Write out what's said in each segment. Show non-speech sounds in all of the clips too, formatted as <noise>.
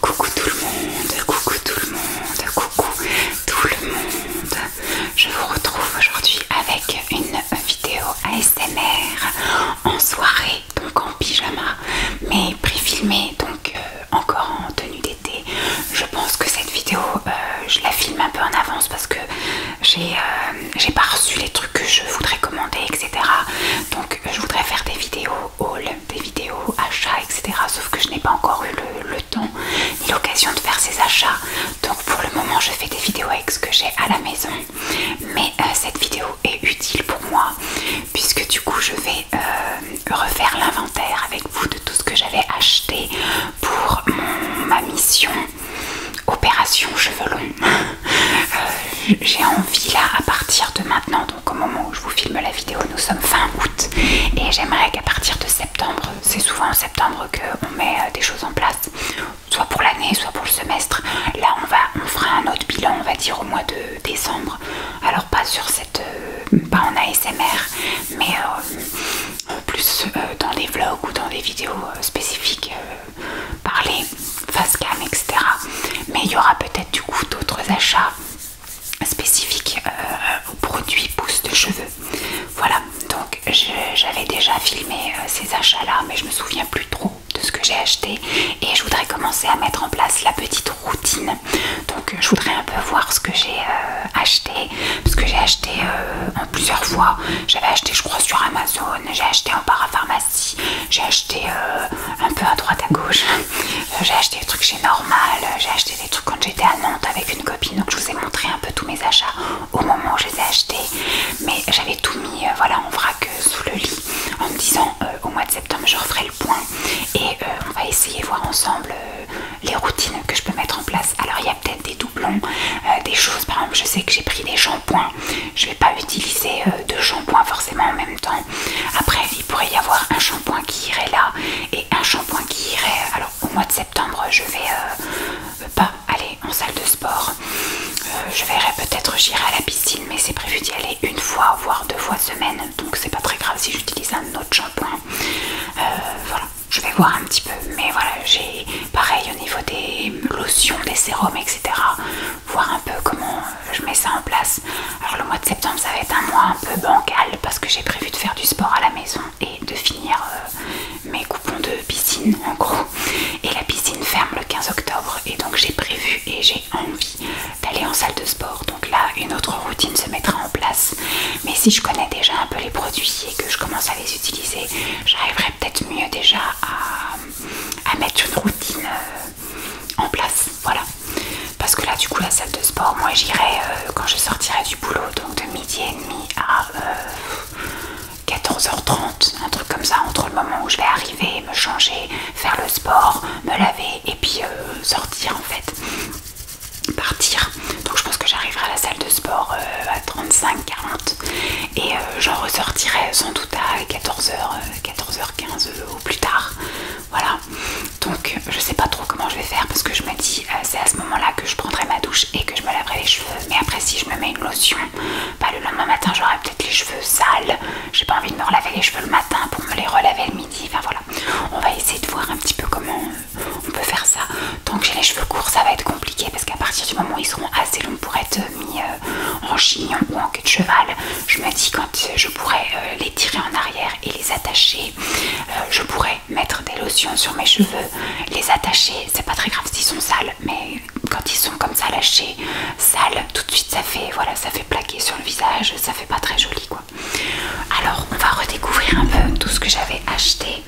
Coucou tout le monde, coucou tout le monde, coucou tout le monde. Je vous retrouve aujourd'hui avec une vidéo ASMR en soirée, donc en pyjama, mais préfilmée, donc euh, encore en tenue d'été. Je pense que cette vidéo, euh, je la filme un peu en avance parce que j'ai euh, pas reçu les trucs que je voudrais commander, etc. Donc je voudrais faire des vidéos des vidéos, achats, etc. Sauf que je n'ai pas encore eu le, temps ni l'occasion de faire ces achats. Donc pour le moment, je fais des vidéos avec ce que j'ai à la maison. Mais euh, cette vidéo est utile pour moi puisque du coup, je vais euh, refaire l'inventaire avec vous de tout ce que j'avais acheté pour ma mission opération cheveux longs. <laughs> Euh, j'ai envie là à partir de maintenant, donc au moment où vous filme la vidéo, nous sommes fin août et j'aimerais qu'à partir de septembre, c'est souvent en septembre qu'on met euh, des choses en place, soit pour l'année, soit pour le semestre. Là, on, va, on fera un autre bilan, on va dire au mois de décembre. Alors, pas sur cette. Euh, pas en ASMR, mais euh, plus dans des vlogs ou dans des vidéos spécifiques, parler face cam, etc. Mais il y aura peut-être du coup d'autres achats spécifique euh, aux produits pousse de cheveux. Voilà, donc j'avais déjà filmé euh, ces achats-là, mais je me souviens plus trop de ce que j'ai acheté et je voudrais commencer à mettre en place la petite routine. Donc je voudrais un peu voir ce que j'ai euh, acheté, parce que j'ai acheté en plusieurs fois. J'avais acheté, je crois, sur Amazon, j'ai acheté en parapharmacie j'ai acheté euh, un peu à droite à gauche, euh, j'ai acheté des trucs chez Normal, euh, j'ai acheté des trucs quand j'étais à Nantes avec une copine, donc je vous ai montré un peu tous mes achats au moment où je les ai achetés, mais j'avais tout mis voilà, en vrac sous le lit en me disant au mois de septembre je referai le point et on va essayer de voir ensemble les routines que je peux mettre en place. Alors il y a peut-être des doublons, des choses, par exemple je sais que j'ai pris des shampoings, je vais pas utiliser deux de forcément en même temps après, il pourrait y avoir un shampoing qui irait là et un shampoing qui irait. Euh, alors, au mois de septembre, je vais euh, pas aller en salle de sport. Euh, je verrai peut-être, j'irai à la piscine, mais c'est prévu d'y aller une fois, voire deux fois semaine. Donc, c'est pas très grave si j'utilise un autre shampoing. voilà, je vais voir un petit peu. Mais voilà, j'ai pareil au niveau des lotions, des sérums, etc voir un peu comment euh, je mets ça en place. Alors le mois de septembre ça va être un mois un peu bancal parce que j'ai prévu de faire du sport à la maison et de finir euh, mes coupons de piscine <laughs> en gros. Et la piscine ferme le 15 octobre et donc j'ai prévu et j'ai envie d'aller en salle de sport. Donc là une autre routine se mettra en place. Mais si je connais déjà un peu les produits et que je commence à les utiliser, j'arriverai peut-être mieux déjà à, mettre une routine. Euh, en place. Voilà. Parce que là, du coup, la salle de sport, moi j'irai euh, quand je sortirai du boulot, donc de midi et demi à 14h30, euh, un truc comme ça, entre le moment où je vais arriver, me changer, faire le sport, me laver et puis euh, sortir en fait partir donc je pense que j'arriverai à la salle de sport à 35 40 et j'en ressortirai sans doute à 14h 14h15 plus tard. Voilà. Donc je sais pas trop comment je vais faire parce que je me dis euh, c'est à ce moment-là que je prendrai ma douche et que je me laverai les cheveux. Mais après si je me mets une lotion, bah, le lendemain matin j'aurai peut-être les cheveux sales. J'ai pas envie de me relaver les cheveux le matin pour me les relaver le midi. Enfin voilà. On va essayer de voir un petit peu comment on peut faire ça. Donc j'ai les cheveux courts ça va être compliqué parce qu'à partir du moment où ils seront assez longs pour être euh, mis euh, euh, en chignon ou en queue de cheval, je me dis quand euh, je pourrais euh, les tirer en arrière et les attacher, je pourrais mettre des lotions sur mes cheveux, les attacher, c'est pas très grave s'ils sont sales, mais quand ils sont comme ça lâchés, sales, tout de suite ça fait voilà, ça fait plaquer sur le visage, ça fait pas très joli quoi. Alors on va redécouvrir un peu tout ce que j'avais acheté.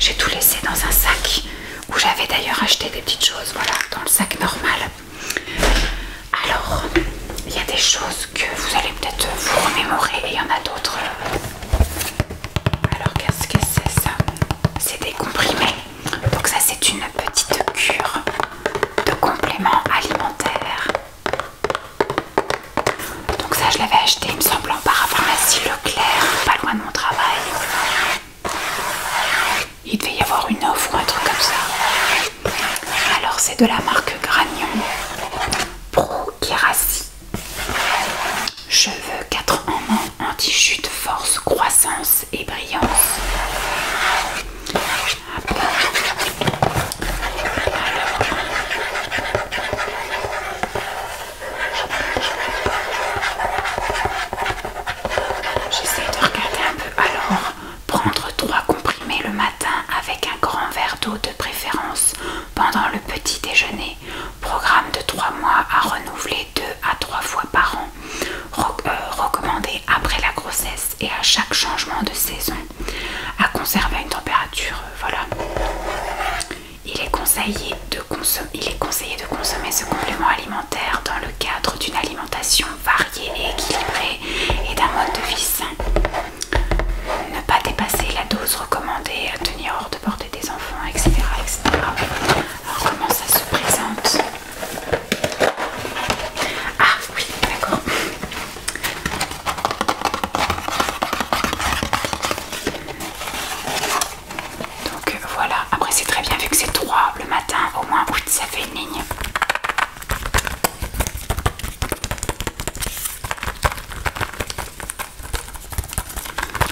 J'ai tout laissé dans un sac où j'avais d'ailleurs acheté des petites choses, voilà, dans le sac normal. Alors, il y a des choses que vous allez peut-être vous remémorer et il y en a d'autres. Euh, alors, qu'est-ce que c'est ça C'est des comprimés. Donc ça, c'est une petite cure de compléments alimentaires. Donc ça, je l'avais acheté, il me semble, en parapharmacie Leclerc, pas loin de mon travail. Il devait y avoir une offre ou un truc comme ça. Alors c'est de la marque Gragnon Pro Kerasi. Cheveux 4 en 1 anti-chute, force, croissance et brillance. J'essaie de regarder un peu. Alors, Prendre trois comprimés le matin avec un grand verre d'eau de préférence pendant le petit déjeuner. Programme de trois mois à renouveler deux à trois fois par an. Euh, recommandé après la grossesse et à chaque changement de saison. À conserver à une température, euh, voilà. il est conseillé de consommer ce complément alimentaire dans le cadre d'une alimentation variée et équilibré et d'un mode de vie sain. Ne pas dépasser la dose recommandée, à tenir hors de portée des enfants, etc. etc. Alors comment ça se présente Ah oui, d'accord. Donc voilà, après c'est très bien vu que c'est 3 le matin au moins, ça savez ligne.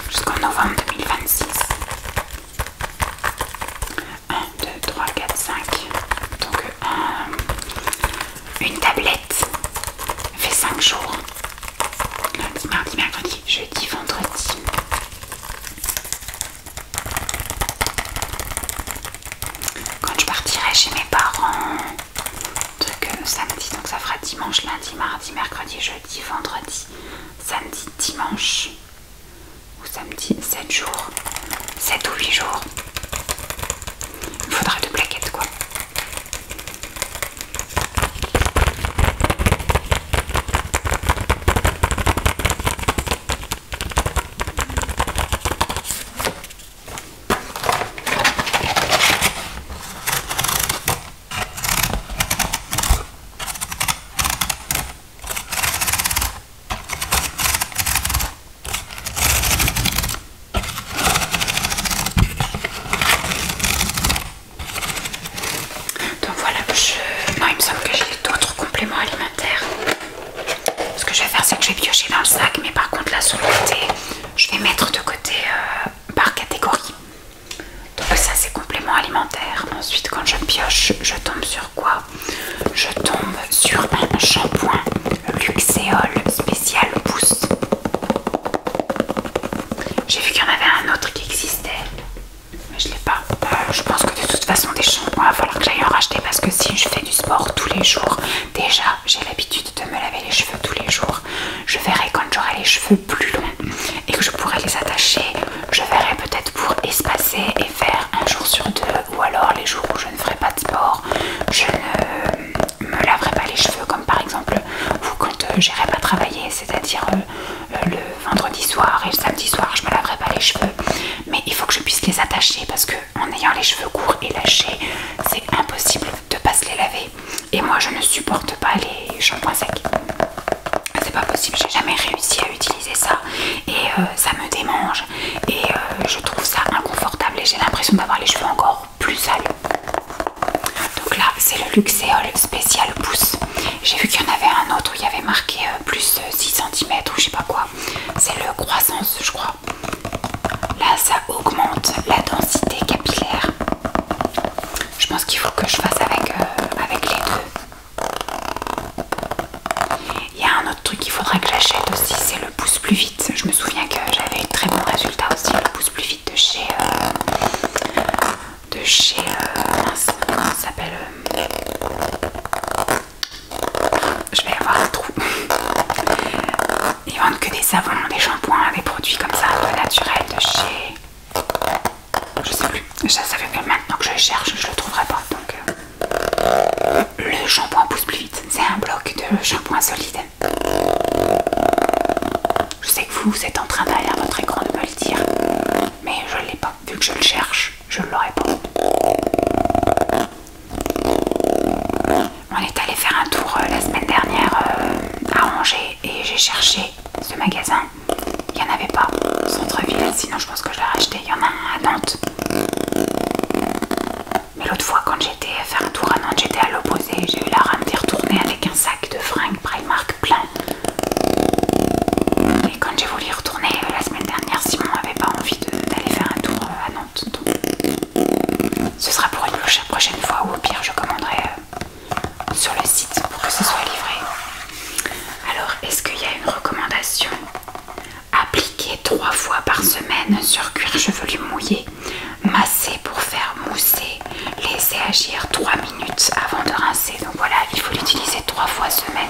Jusqu'en novembre 2026. 1, 2, 3, 4, 5. Donc euh, une tablette fait 5 jours. Lundi, mardi, jeudi, vendredi. Quand je partirai chez mes parents, truc euh, samedi, donc ça fera dimanche, lundi, mardi, mercredi, jeudi, vendredi, samedi, dimanche, ou samedi, 7 jours, 7 ou 8 jours. Il faudra deux plaquettes quoi. Donc voilà, je... non, il me semble que j'ai d'autres compléments alimentaires. Ce que je vais faire, c'est que je vais piocher dans le sac, mais par contre, la le côté je vais mettre de côté euh, par catégorie. Donc, ça, c'est complément alimentaire. Ensuite, quand je pioche, je tombe sur quoi Je tombe sur un shampoing Luxéol spécial pousse J'ai vu qu'il y en avait un autre qui existait. Mais je l'ai pas. Euh, je pense que de toute façon des shampoings, il va falloir que j'aille en racheter parce que si je fais du sport tous les jours, déjà j'ai l'habitude de me laver les cheveux tous les jours. Je verrai quand j'aurai les cheveux plus longs et que je pourrai les attacher. Je verrai peut-être pour espacer et faire un jour sur deux ou alors les jours où je ne ferai pas de sport, je ne euh, me laverai pas les cheveux comme par exemple ou quand euh, j'irai pas travailler, c'est-à-dire euh, le vendredi soir et le samedi soir je me laverai pas les cheveux mais il faut que je puisse les attacher parce que en ayant les cheveux courts et lâchés c'est impossible de pas se les laver et moi je ne supporte pas les shampoings secs c'est pas possible j'ai jamais réussi à utiliser ça et euh, ça me démange et euh, je trouve ça inconfortable et j'ai l'impression d'avoir les cheveux encore plus sales donc là c'est le Luxéol spécial pouce j'ai vu qu'il y en avait un autre où il y avait marqué euh, plus 6 euh, cm ou je sais pas quoi. C'est le croissance, je crois. Là, ça augmente la densité capillaire. Je pense qu'il faut que je fasse avec, euh, avec les deux. Il y a un autre truc qu'il faudra que j'achète aussi, c'est le pouce plus vite. Je me souviens que j'avais eu très bons résultats aussi, le pouce plus vite de chez de chez euh, ça s'appelle euh, je vais avoir un trou <laughs> ils vendent que des savons des shampoings des produits comme ça naturels de chez je sais plus ça, fait que maintenant que je cherche je le trouverai pas donc euh, le shampoing pousse plus vite c'est un bloc de shampoing solide je sais que vous êtes en train derrière votre écran de me le dire mais je l'ai pas vu que je le cherche je ne pas. On est allé faire un tour euh, la semaine dernière euh, à Angers et j'ai cherché ce magasin. Il n'y en avait pas. Centre-ville, sinon je pense que je l'ai racheté. Il y en a un à Nantes. Mais l'autre fois, quand j'étais à faire un tour à Nantes, j'étais à l'opposé. J'ai eu la rame d'y retourner avec un sac de fringues Primark plein. Et quand j'ai voulu y retourner euh, la semaine dernière, Simon n'avait pas envie d'aller faire un tour euh, à Nantes. ce sera pour une prochaine fois ou au pire je commanderai euh, sur le site pour que ce soit livré. Alors est-ce qu'il y a une recommandation Appliquer trois fois par semaine sur cuir chevelu mouillé, masser pour faire mousser, laisser agir 3 minutes avant de rincer. Donc voilà, il faut l'utiliser trois fois semaine.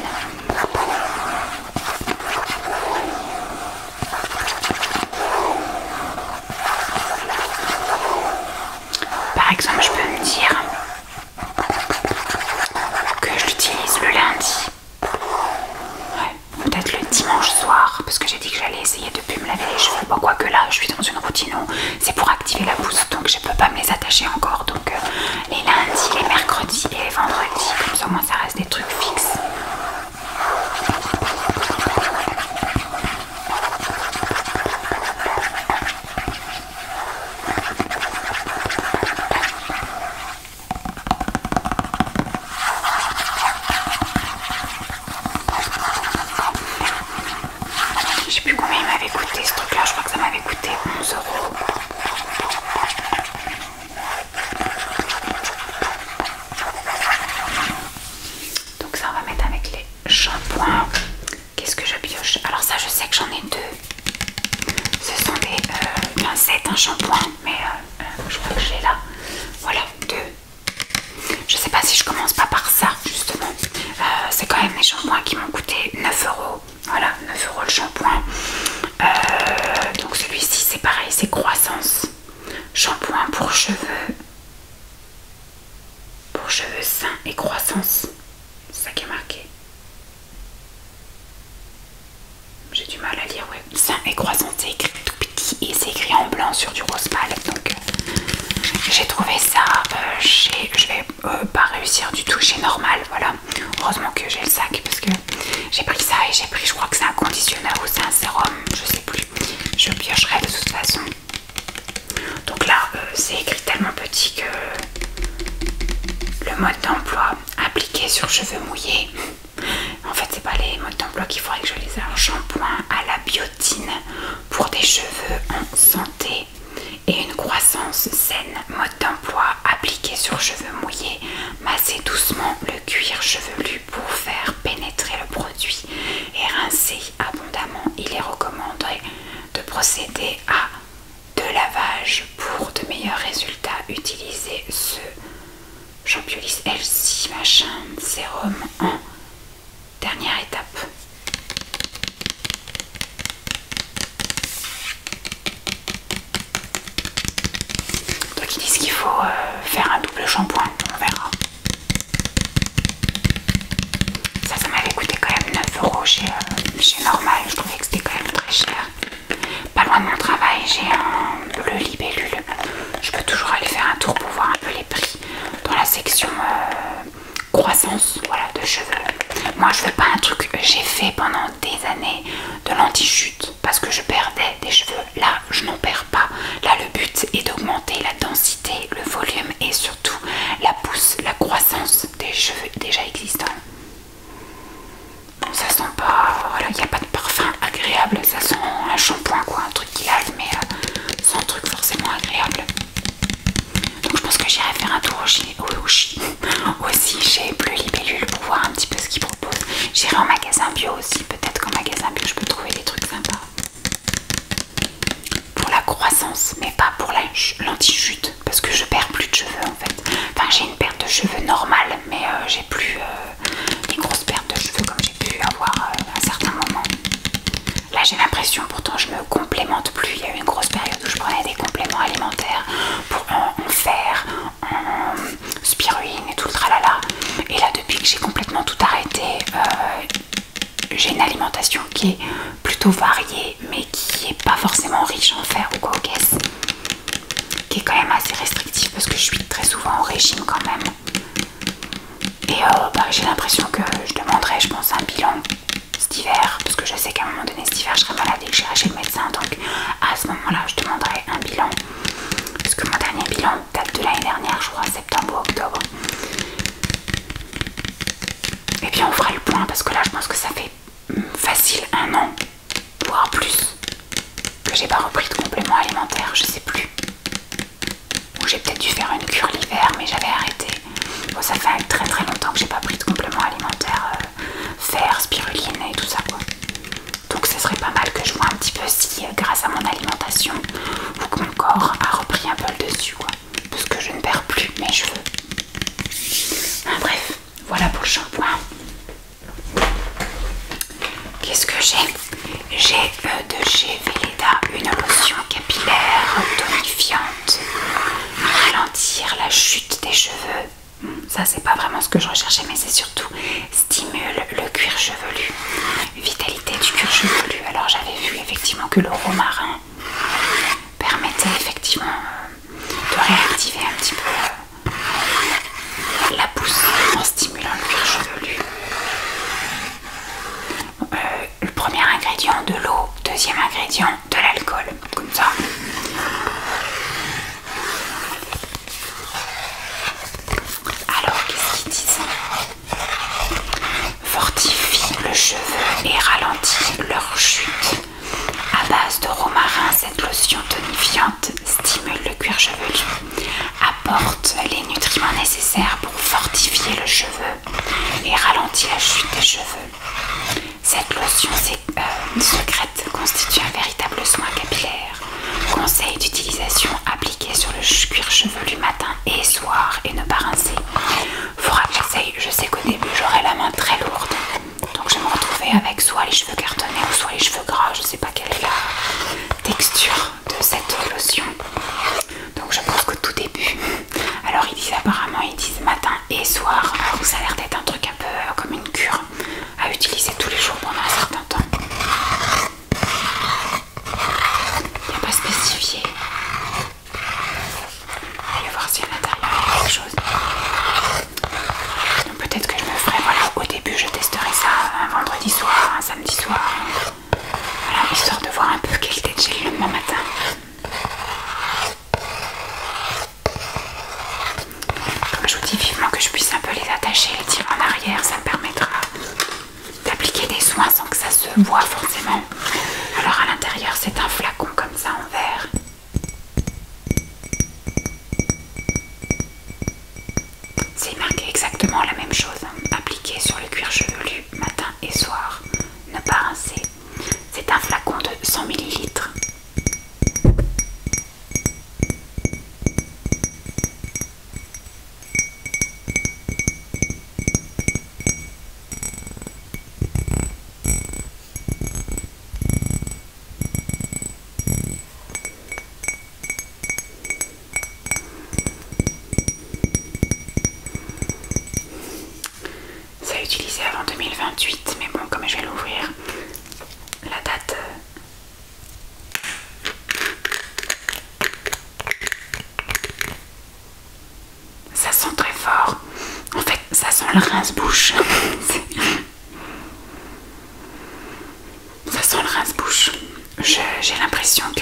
Par exemple, je peux me dire que je l'utilise le lundi. peut-être le dimanche soir, parce que j'ai dit que j'allais essayer de plus me laver les cheveux. Bon, quoique là, je suis dans une routine c'est pour activer la pousse, donc je peux pas me les attacher encore. Donc, euh, les lundis, les mercredis et les vendredis. Comme ça, au moins, ça reste des trucs fixes. Je sais plus combien il m'avait coûté ce truc là, je crois que ça m'avait coûter 11 euros. Donc ça on va mettre avec les shampoings. Qu'est-ce que je pioche Alors ça je sais que j'en ai deux. Ce sont des euh, pincettes, un shampoing, mais euh, euh, je crois que je l'ai là. Voilà, deux. Je sais pas si je commence pas par ça justement. C'est quand même des shampoings qui m'ont coûté 9 euros. Voilà, 9 euros le shampoing. Euh, donc celui-ci, c'est pareil, c'est croissance. Shampoing pour cheveux. Pour cheveux sains et croissance. C'est ça qui est marqué. J'ai du mal à lire, ouais. Sain et croissance, c'est écrit tout petit et c'est écrit en blanc sur du rose pâle. Donc euh, j'ai trouvé ça. Euh, euh, pas réussir du tout c'est Normal. Voilà, heureusement que j'ai le sac parce que j'ai pris ça et j'ai pris, je crois que c'est un conditionneur ou c'est un sérum, je sais plus. Je piocherai de toute façon. Donc là, euh, c'est écrit tellement petit que le mode d'emploi appliqué sur cheveux mouillés. En fait, c'est pas les modes d'emploi qu'il faudrait que je les Un shampoing à la biotine pour des cheveux en santé et une croissance saine. Mode d'emploi appliqué sur cheveux mouillés. Masser doucement le cuir chevelu pour faire pénétrer le produit et rincer abondamment. Il est recommandé de procéder à deux lavages pour de meilleurs résultats. Utilisez ce l LC machin sérum en dernière étape. Donc ils disent qu'il faut euh, faire un double shampoing, on verra. Ça, ça m'avait coûté quand même 9 euros chez, euh, chez Normal, je trouvais que c'était quand même très cher. Pas loin de mon travail, j'ai un bleu libellule. Je peux toujours aller faire un tour pour voir un peu les prix dans la section euh, croissance voilà, de cheveux. Moi, je veux pas un truc j'ai fait pendant des années de lanti parce que je perdais des cheveux. Là, je n'en perds pas. Là, le but est d'augmenter la densité, le volume et surtout la pousse, la croissance des cheveux déjà existants. ça sent pas. Voilà, il n'y a pas de parfum agréable. Ça sent un shampoing, quoi, un truc qui lave, mais euh, sans truc forcément agréable. Donc je pense que j'irai faire un tour au Oshi <laughs> aussi plus plus Libellule pour voir un petit peu ce qu'ils proposent. J'irai en magasin bio aussi, peut-être qu'en magasin bio je peux trouver des trucs sympas. Pour la croissance, mais pas pour l'anti-chute, parce que je perds plus de cheveux en fait. Enfin j'ai une perte de cheveux normale, mais euh, j'ai plus Une euh, grosse grosses pertes de cheveux comme j'ai pu avoir euh, à certains moments. Là j'ai l'impression, pourtant je me complémente plus. Il y a eu une grosse période où je prenais des compléments alimentaires pour en, fer, en spiruline et tout le tralala. Et là depuis que j'ai complètement tout arrêté, euh, j'ai une alimentation qui est plutôt variée mais qui n'est pas forcément riche en fer ou quoi Qui est quand même assez restrictive parce que je suis très souvent en régime quand même. Et euh, bah, j'ai l'impression que je demanderais, je pense, un bilan cet hiver, parce que je sais qu'à un moment donné cet hiver je serai malade et que j'irai chez le médecin, donc à ce moment-là je demanderai un bilan, parce que mon dernier bilan date de l'année dernière, je crois, septembre ou octobre. Et bien, on fera le point, parce que là je pense que ça fait hum, facile un an, voire plus, que j'ai pas repris de compléments alimentaires, je sais plus. Ou j'ai peut-être dû faire une cure l'hiver, mais j'avais arrêté. Bon, ça fait très très longtemps que j'ai pas pris de compléments alimentaires, euh, fer, spiruline et tout ça quoi. Donc ce serait pas mal que je vois un petit peu si euh, grâce à mon alimentation mon corps a repris un peu le dessus quoi. Parce que je ne perds plus mes cheveux. bref, voilà pour le shampoing. Qu'est-ce que j'ai J'ai euh, de chez Veleda une lotion capillaire tonifiante ralentir la chute des cheveux. Ça, c'est pas vraiment ce que je recherchais, mais c'est surtout stimule le cuir chevelu, vitalité du cuir chevelu. Alors, j'avais vu effectivement que le romarin permettait effectivement euh, de réactiver un petit peu euh, la pousse en stimulant le cuir chevelu. Euh, le premier ingrédient de l'eau, deuxième ingrédient de l'alcool, comme ça. Alors, qu'est-ce qu'ils disent Fortifie le cheveu et ralentit leur chute. À base de romarin, cette lotion tonifiante stimule le cuir chevelu, apporte les nutriments nécessaires pour fortifier le cheveu et ralentit la chute des cheveux. Cette lotion euh, une secrète constitue un véritable soin capillaire. Conseil d'utilisation Appliquez sur le cuir chevelu matin et soir et ne pas rincer. Faudra conseil, je sais qu'au début j'aurai la main très lourde, donc je vais me retrouver avec soit les cheveux cartonnés ou soit les cheveux gras, je ne sais pas quelle est la texture de cette lotion. Donc je pense que tout début, alors ils disent apparemment ils disent matin et soir. donc euh, ça a l'air d'être un truc un peu euh, comme une cure à utiliser tous les jours pendant un certain temps. Il n'y a pas spécifié. aller voir si à l'intérieur il y a quelque chose. Donc peut-être que je me ferai, voilà, au début je testerai ça euh, un vendredi soir, un samedi soir. histoire de voir un peu quel était le gel le matin je vous dis vivement que je puisse un peu les attacher et tirer en arrière, ça me permettra d'appliquer des soins sans que ça se voit forcément. Alors à l'intérieur c'est un flacon comme ça en verre. C'est marqué exactement la même chose, hein. appliqué sur le cuir chevelu matin et soir ne pas rincer. C'est un flacon de 100 ml. Ça C'est utilisé avant 2028, mais bon, comme je vais l'ouvrir, la date. Euh, ça sent très fort. En fait, ça sent le rince-bouche. <laughs> ça sent le rince-bouche. J'ai l'impression que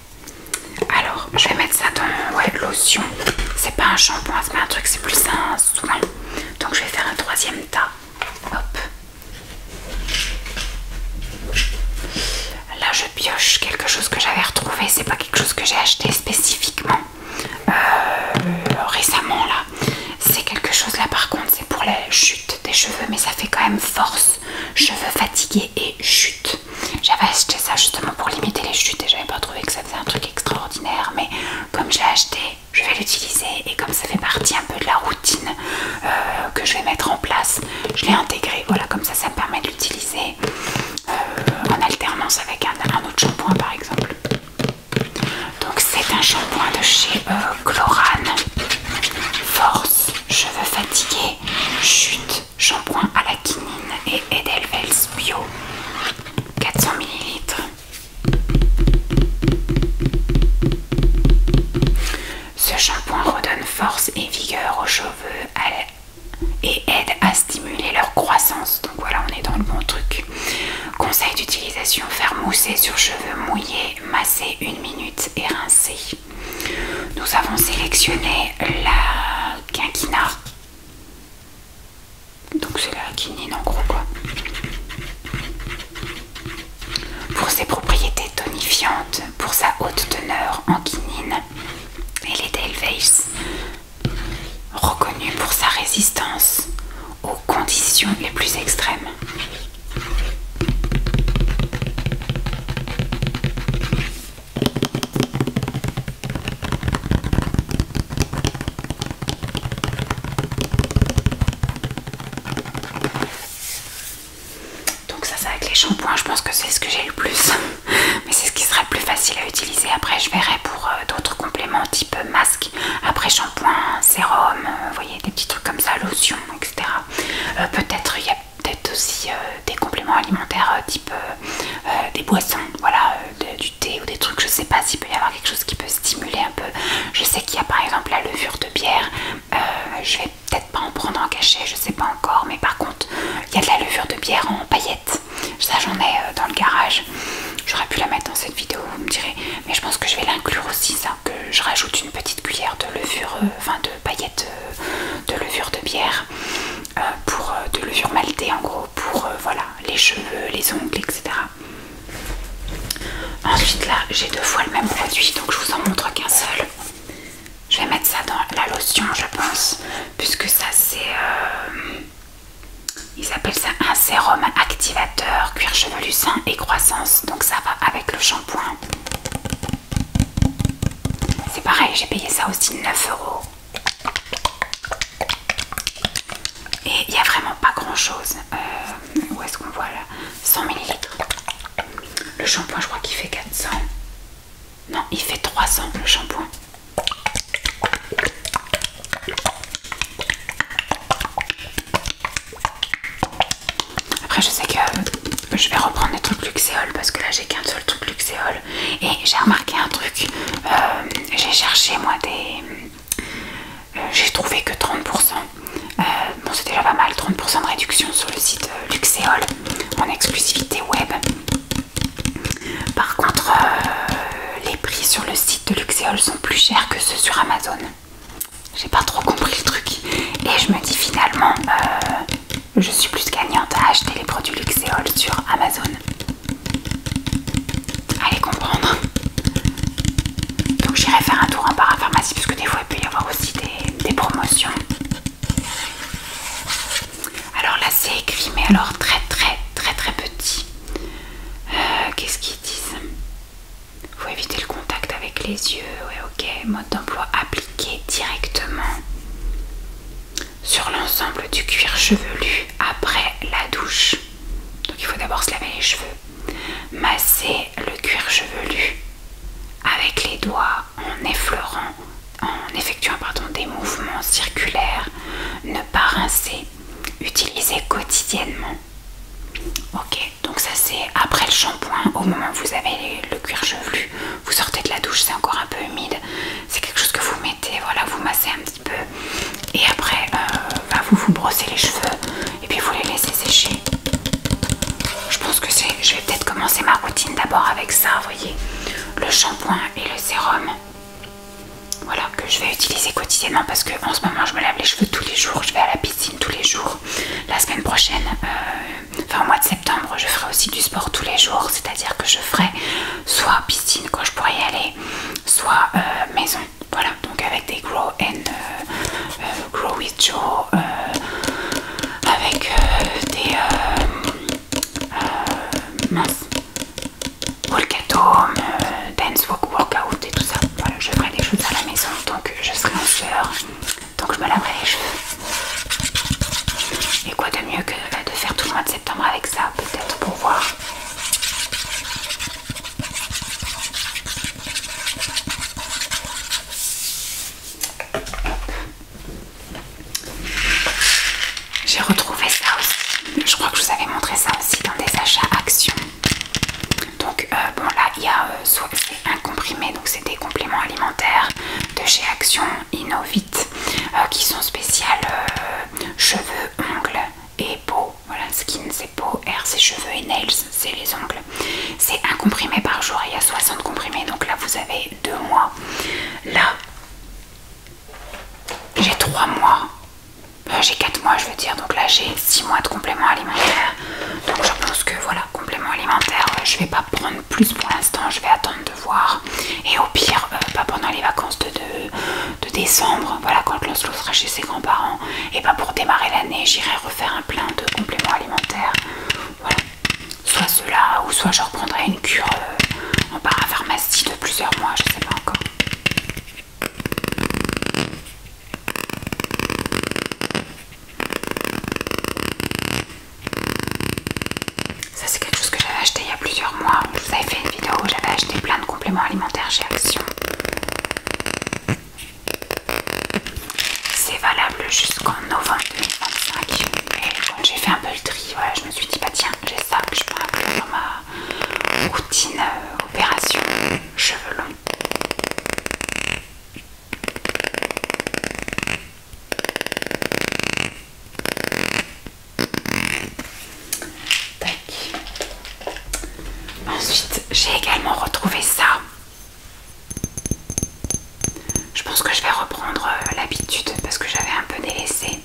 Alors, je vais mettre ça dans ouais, lotion. C'est pas un shampoing, c'est pas un truc, c'est plus un soin. Donc, je vais faire un troisième tas. Hop. Là, je pioche quelque chose que j'avais retrouvé. C'est pas quelque chose que j'ai acheté spécifiquement euh, récemment là. C'est quelque chose là, par contre, c'est pour la chute des cheveux, mais ça fait quand même force, cheveux fatigués et chute. J'avais acheté ça justement pour limiter les chutes et j'avais pas trouvé que ça faisait un truc extraordinaire. Mais comme j'ai acheté, je vais l'utiliser et comme ça fait partie un peu de la routine euh, que je vais mettre en place, je l'ai intégré. Voilà, comme ça, ça me permet de l'utiliser euh, en alternance avec un, autre shampoing par exemple. Donc c'est un shampoing de chez euh, Chlorane. Force, cheveux fatigués, chute, shampoing à la quinine et Edelweiss bio 400 ml. Ce shampoing redonne force et vigueur aux cheveux et aide à stimuler leur croissance. Donc voilà, on est dans le bon truc. Conseil d'utilisation faire mousser sur cheveux mouillés, masser une minute et rincer. Nous avons sélectionné la quinquina. Donc c'est la quinine en gros quoi. Pour ses propriétés tonifiantes, pour sa haute teneur en quinine, les les élevée, reconnus pour sa résistance aux conditions les plus extrêmes. Donc ça c'est avec les shampoings, je pense que c'est ce que j'ai le plus. <laughs> Mais c'est ce qui serait plus facile à utiliser. Après je verrai pour euh, d'autres compléments type masque, après shampoing, sérum, euh, vous voyez des petits trucs comme ça, lotion, etc. Euh, peut-être il y a peut-être aussi euh, des compléments alimentaires euh, type euh, des boissons, voilà, du thé ou des trucs, je sais pas s'il peut y avoir quelque chose qui peut stimuler un peu. Je sais qu'il y a par exemple la levure de bière, je vais peut-être pas en prendre en cachet, je sais pas encore, mais par contre il y a de la levure de bière en paillettes, ça j'en ai dans le garage, j'aurais pu la mettre dans cette vidéo, vous me direz, mais je pense que je vais l'inclure aussi, ça, que je rajoute une petite cuillère de levure, enfin de paillettes euh, de, levure de bière, euh, pour euh, de levure maltée en gros, pour voilà, les cheveux, les ongles, etc. Ensuite là, j'ai deux fois le même produit, donc je vous en montre qu'un seul. Je vais mettre ça dans la lotion, je pense, puisque ça c'est... ils appellent ça un sérum activateur, cuir chevelu sain et croissance, donc ça va avec le shampoing. C'est pareil, j'ai payé ça aussi 9 euros. Et il n'y a vraiment pas grand chose. Euh, où est-ce qu'on voit là 100 ml. Le shampoing, je crois qu'il fait 400. Non, il fait 300 le shampoing. Après, je sais que je vais reprendre les trucs luxéol parce que là j'ai qu'un seul truc luxéol et j'ai remarqué un truc euh, j'ai cherché moi des euh, j'ai trouvé que 30% euh, bon c'est déjà pas mal 30% de réduction sur le site Luxeol, en exclusivité web par contre les prix sur le site de luxéol sont plus chers que ceux sur amazon j'ai pas trop compris le truc et je me dis finalement je suis plus gagnante à acheter les produits Luxéol sur Amazon. Allez comprendre. Donc j'irai faire un tour en parapharmacie puisque que des fois il peut y avoir aussi des, promotions. Alors là c'est écrit mais alors très très très très petit. Euh, qu'est-ce qu'ils disent Faut éviter le contact avec les yeux ok, mode d'emploi appliqué directement sur l'ensemble du cuir chevelu après la douche. Donc il faut d'abord se laver les cheveux. Masser le cuir chevelu avec les doigts en effleurant, en effectuant pardon, des mouvements circulaires. Ne pas rincer. Utiliser quotidiennement. Ok, donc ça c'est après le shampoing, au moment où vous avez le cuir chevelu, vous sortez de la douche, c'est encore un peu humide, c'est quelque chose que vous mettez, voilà, vous massez un petit peu et après euh, bah, vous vous brossez les cheveux et puis vous les laissez sécher. Je pense que c'est, je vais peut-être commencer ma routine d'abord avec ça, vous voyez, le shampoing et le sérum. Voilà, que je vais utiliser quotidiennement parce que en ce moment je me lave les cheveux tous les jours, je vais à la piscine tous les jours. La semaine prochaine, euh, enfin au mois de septembre, je ferai aussi du sport tous les jours, c'est-à-dire que je ferai soit piscine quand je pourrais y aller, soit euh, maison. Voilà, donc avec des Grow and euh, euh, Grow with Joe, avec des euh, mince, Dance Walk Workout et tout ça. Voilà, je ferai des choses à la maison, donc je serai en soeur. Donc je me laverai les cheveux. Et quoi de mieux que euh, de faire tout le mois de septembre avec ça, peut-être pour voir. J'ai retrouvé ça aussi. Je crois que je vous avais montré ça aussi dans des achats actions. Donc euh, bon là il y a euh, soit un comprimé, donc c'est des compléments alimentaires de chez Action Innovit euh, qui sont spéciales euh, cheveux, ongles et peau. Voilà, skin c'est peau, hair c'est cheveux et nails c'est les ongles. C'est un comprimé par jour, il y a 60 comprimés, donc là vous avez deux mois. Là, j'ai trois mois. Euh, j'ai quatre mois je veux dire, donc là j'ai six mois de compléments alimentaires. Donc je pense que voilà, compléments alimentaires, je vais pas prendre plus pour l'instant, je vais attendre de voir. Et au pire, euh, pas pendant les vacances de, décembre, voilà, quand Lancelot sera chez ses grands-parents, et pas ben, pour démarrer l'année, j'irai refaire un plein de compléments alimentaires. Voilà, soit cela, ou soit je reprendrai une cure euh, en parapharmacie de plusieurs mois, je sais pas encore. Ça c'est quelque chose que j'avais acheté il y a plusieurs mois. Je vous avais fait une vidéo où j'avais acheté plein de compléments alimentaires chez Action. C'est valable jusqu'en novembre 2025. j'ai fait un peu le tri, je me suis dit bah tiens, j'ai ça que je peux mettre dans ma routine euh, opération cheveux longs. Ensuite, j'ai également retrouvé ça. Je pense que je vais reprendre euh, l'habitude parce que j'avais un peu délaissé.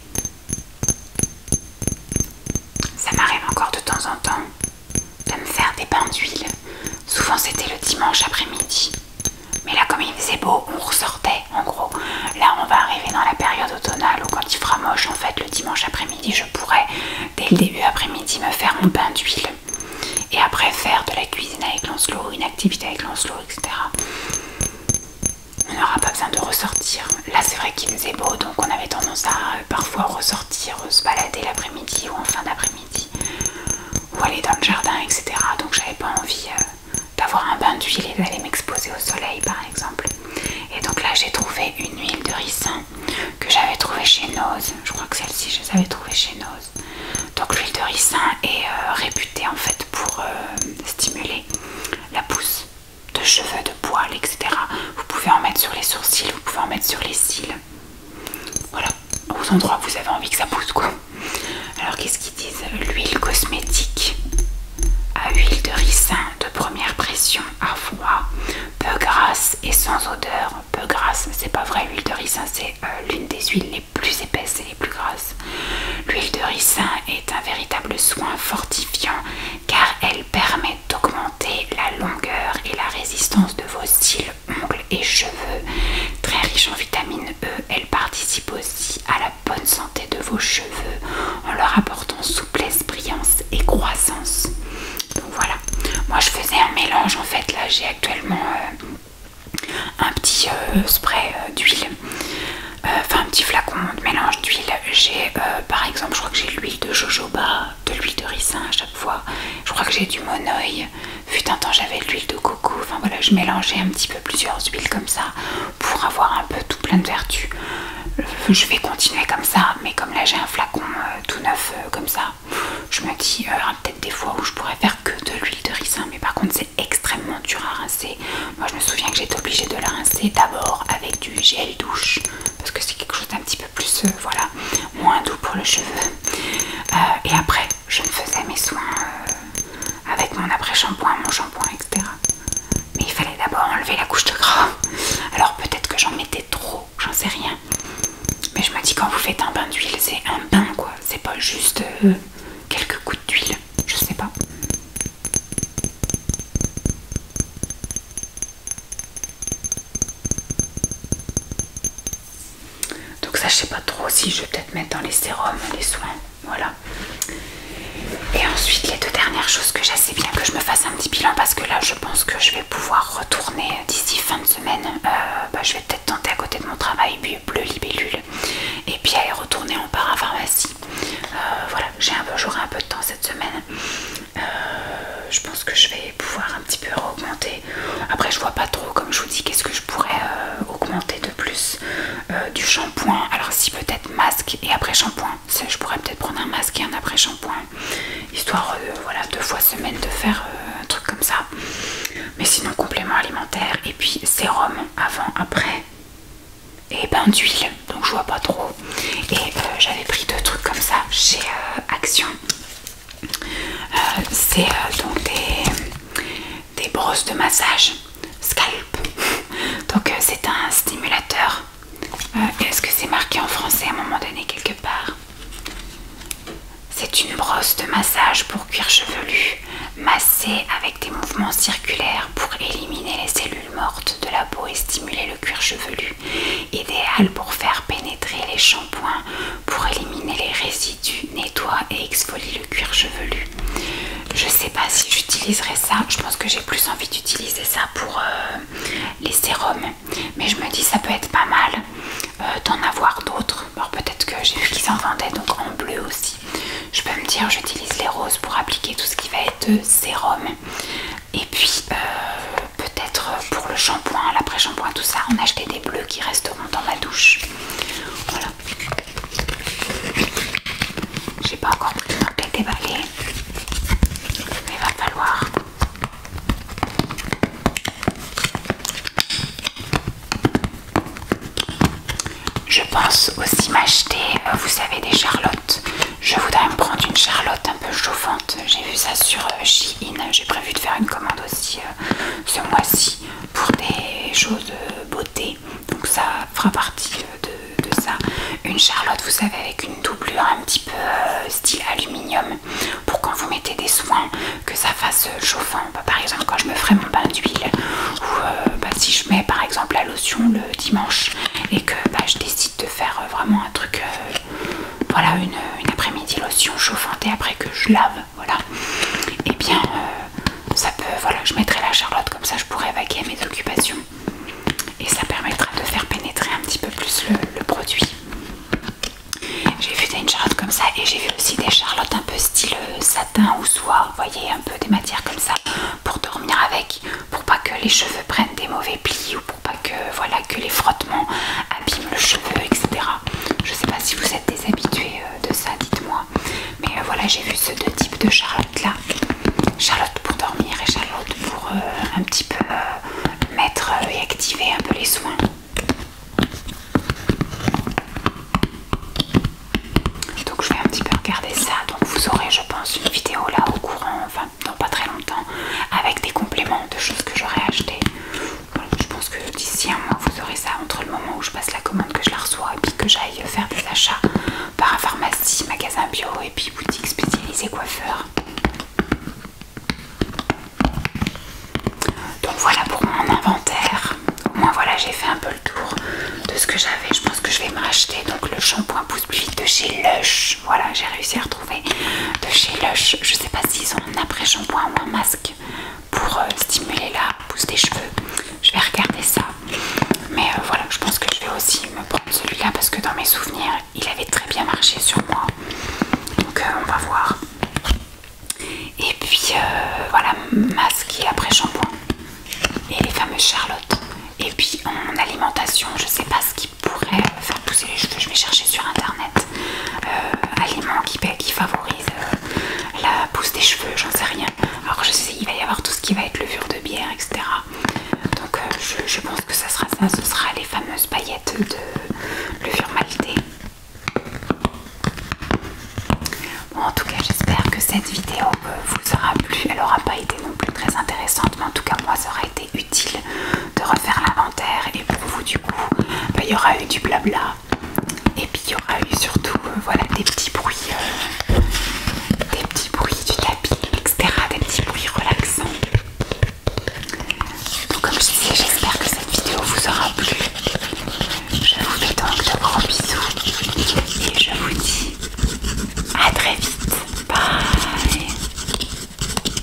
Ça m'arrive encore de temps en temps de me faire des pains d'huile. Souvent c'était le dimanche après-midi. Mais là, comme il faisait beau, on ressortait en gros. Là, on va arriver dans la période automnale où, quand il fera moche, en fait, le dimanche après-midi, je pourrais, dès le début après-midi, me faire mon pain d'huile. Et après, faire de la cuisine avec Lancelot, une activité avec Lancelot, etc. On n'aura pas besoin de ressortir. Là, c'est vrai qu'il faisait beau, donc on avait tendance à euh, parfois ressortir, euh, se balader l'après-midi ou en fin d'après-midi ou aller dans le jardin, etc. Donc j'avais pas envie euh, d'avoir un bain d'huile et d'aller m'exposer au soleil par exemple. Et donc là j'ai trouvé une huile de ricin que j'avais trouvée chez Nose. Je crois que celle-ci je les avais trouvées chez Nose. Donc l'huile de ricin est euh, réputée en fait pour euh, stimuler la pousse de cheveux, de poils, etc. Vous pouvez en mettre sur les sourcils, vous pouvez en mettre sur les cils. Voilà, aux endroits où vous avez envie que ça pousse quoi. Alors qu'est-ce qu'ils disent euh, L'huile cosmétique à huile de ricin de première pression à froid, peu grasse et sans odeur. Peu grasse, mais c'est pas vrai, l'huile de ricin c'est euh, l'une des huiles les plus épaisses et les plus grasses. L'huile de ricin est un véritable soin fortifiant car elle permet d'augmenter la longueur et la résistance de vos cils ongles et cheveux. Très riches en vitamine E, Elles participent aussi à la bonne santé de vos cheveux en leur apportant souplesse, brillance et croissance. Donc voilà, moi je faisais un mélange en fait, là j'ai actuellement euh, un petit euh, spray euh, d'huile, enfin un petit flacon de mélange d'huile. J'ai par exemple, je crois que j'ai l'huile de jojoba, de l'huile de ricin à chaque fois, je crois que j'ai du monoï, Putain tant temps, j'avais l'huile de coco. Enfin voilà, je mélangeais un petit peu plusieurs huiles comme ça pour avoir un peu tout plein de vertus. Euh, je vais continuer comme ça, mais comme là j'ai un flacon euh, tout neuf euh, comme ça, je me dis hein, peut-être des fois où je pourrais faire que de l'huile de ricin, mais par contre c'est extrêmement dur à rincer. Moi je me souviens que j'étais obligée de la rincer d'abord avec du gel douche parce que c'est quelque chose d'un petit peu plus, voilà, moins doux pour le cheveu. et après je me faisais mes soins euh, avec mon après-shampoing, mon shampoing, etc. Mais il fallait d'abord enlever la couche de gras. Alors peut-être que j'en mettais trop, j'en sais rien. Mais je me dis quand vous faites un bain d'huile, c'est un bain quoi. C'est pas juste euh, quelques coups d'huile, je sais pas. Donc ça je sais pas trop si je vais peut-être mettre dans les sérums, les soins, voilà. Et ensuite les deux dernières choses que j'ai, bien que je me fasse un petit bilan parce que là je pense que je vais pouvoir retourner d'ici fin de semaine. Euh, bah, je vais peut-être tenter à côté de mon travail puis bleu libellule et puis aller retourner en parapharmacie. Euh, voilà, j'ai un peu j'aurai un peu de temps cette semaine. Euh, je pense que je vais pouvoir un petit peu augmenter. Après, je vois pas trop, comme je vous dis, qu'est-ce que je pourrais euh, augmenter de plus. Euh, du shampoing, alors si peut-être masque et après shampoing, je pourrais peut-être prendre un masque et un après shampoing, histoire euh, voilà deux fois semaine de faire un truc comme ça. Mais sinon complément alimentaire et puis sérum avant, après et bain d'huile, donc je vois pas trop. Et j'avais pris deux trucs comme ça chez Action. Euh, c'est euh, donc des, brosses de massage scalp. <laughs> Donc euh, c'est un stimulateur. Est-ce que c'est marqué en français à un moment donné quelque part C'est une brosse de massage pour cuir chevelu, massée avec des mouvements circulaires pour éliminer les cellules mortes de la peau et stimuler le cuir chevelu. Idéal pour faire pénétrer les shampoings pour éliminer les résidus, nettoie et exfolie le cuir chevelu. Je sais pas si j'utiliserai ça, je pense que j'ai plus envie d'utiliser ça pour euh, les sérums, mais je me dis ça peut être pas mal euh, d'en avoir d'autres. Alors peut-être que j'ai vu qu'ils en vendaient donc en bleu aussi. Je peux me dire j'utilise les roses pour appliquer tout ce qui va être sérum. Et puis euh, peut-être pour le shampoing, l'après-shampoing, tout ça, on achetait des bleus qui resteront dans ma douche. Voilà. J'ai pas encore pu déballer. Mais il va falloir. Je pense aussi m'acheter, euh, vous savez, des charlottes. Je voudrais me prendre une charlotte un peu chauffante. J'ai vu ça sur euh, Shein. J'ai prévu de faire une commande aussi euh, ce mois-ci pour des choses beauté. Donc ça fera partie euh, de, ça. Une charlotte, vous savez, avec une doublure un petit peu euh, style aluminium pour quand vous mettez des soins que ça fasse chauffant. Bah, par exemple, quand je me ferai mon bain d'huile ou bah, si je mets par exemple la lotion le dimanche et que bah, je décide de faire vraiment un truc voilà une, après-midi lotion chauffante et après que je lave, voilà, et eh bien euh, ça peut, voilà, je mettrai la charlotte comme ça je pourrais vaquer mes occupations et ça permettra de faire pénétrer un petit peu plus le, produit. J'ai vu des charlotte comme ça et j'ai vu aussi des charlottes un peu style euh, satin ou soie, voyez, un peu des matières comme ça pour dormir avec, pour pas que les cheveux prennent des mauvais plis ou pas que voilà que les frottements abîment le cheveu, etc. Je sais pas si vous êtes des habitués euh, de ça, dites-moi. Mais euh, voilà, j'ai vu ce deux types de Charlotte là. Charlotte pour dormir et Charlotte pour euh, un petit peu mettre et activer un peu les soins. Donc je vais un petit peu regarder ça. Donc vous aurez je pense une vidéo là au courant, enfin dans pas très longtemps, avec des compléments de choses que j'aurais achetées je pense que d'ici un mois, vous aurez ça entre le moment où je passe la commande, que je la reçois, et puis que j'aille faire des achats par pharmacie, magasin bio, et puis boutique spécialisée coiffeur. Donc voilà pour mon inventaire. Au moins voilà, j'ai fait un peu le tour de ce que j'avais. Je pense que je vais me racheter donc le shampoing pousse plus de chez Lush. Voilà, j'ai réussi à retrouver de chez Lush. Je sais pas s'ils ont un après-shampoing ou un masque pour euh, stimuler la pousse des cheveux. Je vais regarder ça. Mais euh, voilà, je pense que je vais aussi me prendre celui-là parce que dans mes souvenirs, il avait très bien marché sur moi. Donc euh, on va voir. Et puis voilà, masque et après-shampoing. Et les fameuses Charlotte. Et puis en alimentation, je sais pas ce qui pourrait faire pousser les cheveux. Je vais chercher sur internet euh, aliments qui, favorise euh, la pousse des cheveux, j'en sais rien. Alors je sais, il va y avoir tout ce qui va être levure de bière, etc. Donc euh, je, pense que ça sera ça, ce sera les fameuses paillettes de levure maltée. Bon, en tout cas, j'espère que cette vidéo vous aura plu. Elle n'aura pas été non plus très intéressante, mais en tout cas, moi, ça aura été utile de refaire l'inventaire et pour vous du coup bah, il y aura eu du blabla et puis il y aura eu surtout euh, voilà des petits bruits euh, des petits bruits du tapis etc des petits bruits relaxants donc comme je disais j'espère que cette vidéo vous aura plu je vous fais donc de grands bisous et je vous dis à très vite bye